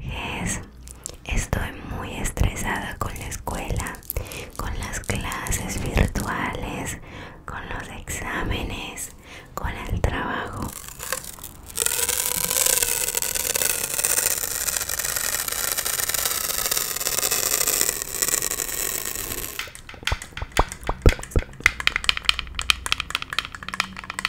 es? estoy muy estresada con la escuela, con las clases virtuales, con los exámenes, con el trabajo.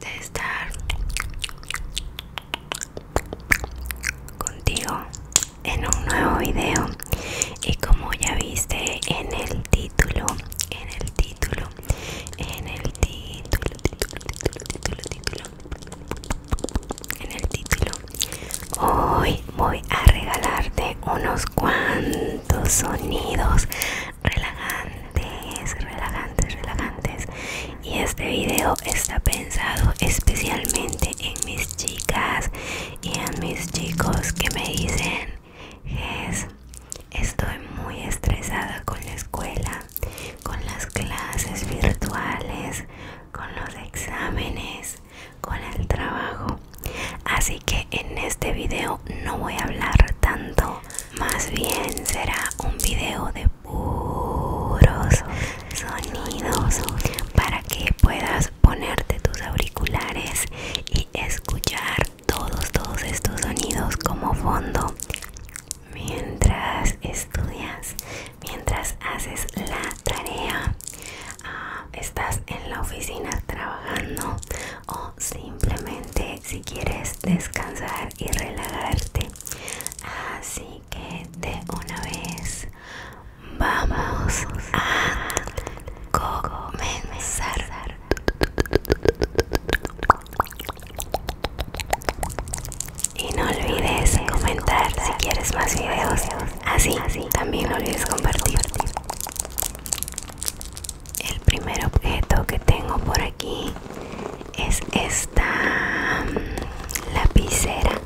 de estar contigo en un nuevo video y como ya viste en el título en el título en el título título título título en el título hoy voy a regalarte unos cuantos sonidos relajantes relajantes relajantes y este video está pensado especialmente en mis chicas y en mis chicos que me dicen Jess, estoy muy estresada con la escuela, con las clases virtuales, con los exámenes, con el trabajo. Así que en este video no voy a hablar tanto, más bien será un video de puros sonidos para que puedas ponerte tus auriculares y escuchar todos todos estos sonidos como fondo mientras estudias mientras haces la tarea ah, estás en la oficina trabajando o simplemente si quieres descansar y relajarte Así que de una vez vamos a comenzar. Y no olvides comentar si quieres más videos. Así, También no olvides compartir. El primer objeto que tengo por aquí es esta mm, lapicera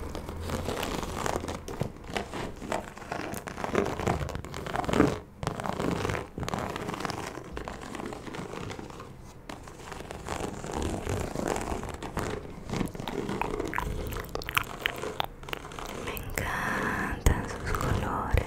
me encantan sus colores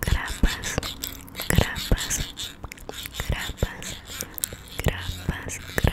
grapas, grapas, grapas, grapas, grapas,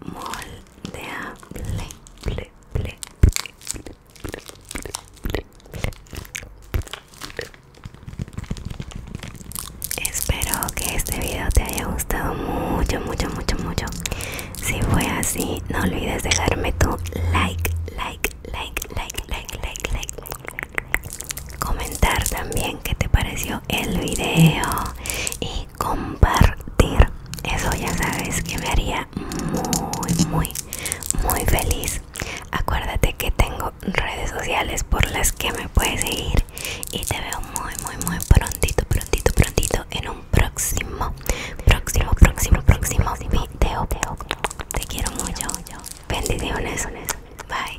moldeable Espero que este video te haya gustado mucho, mucho, mucho, mucho. Si fue así, no olvides dejarme tu like, like, like, like, like, like, Comentar también qué te pareció el video y compartir eso ya sabes que me haría muy muy muy feliz acuérdate que tengo redes sociales por las que me puedes seguir y te veo muy muy muy prontito prontito prontito en un próximo próximo próximo próximo video te quiero mucho bendiciones bye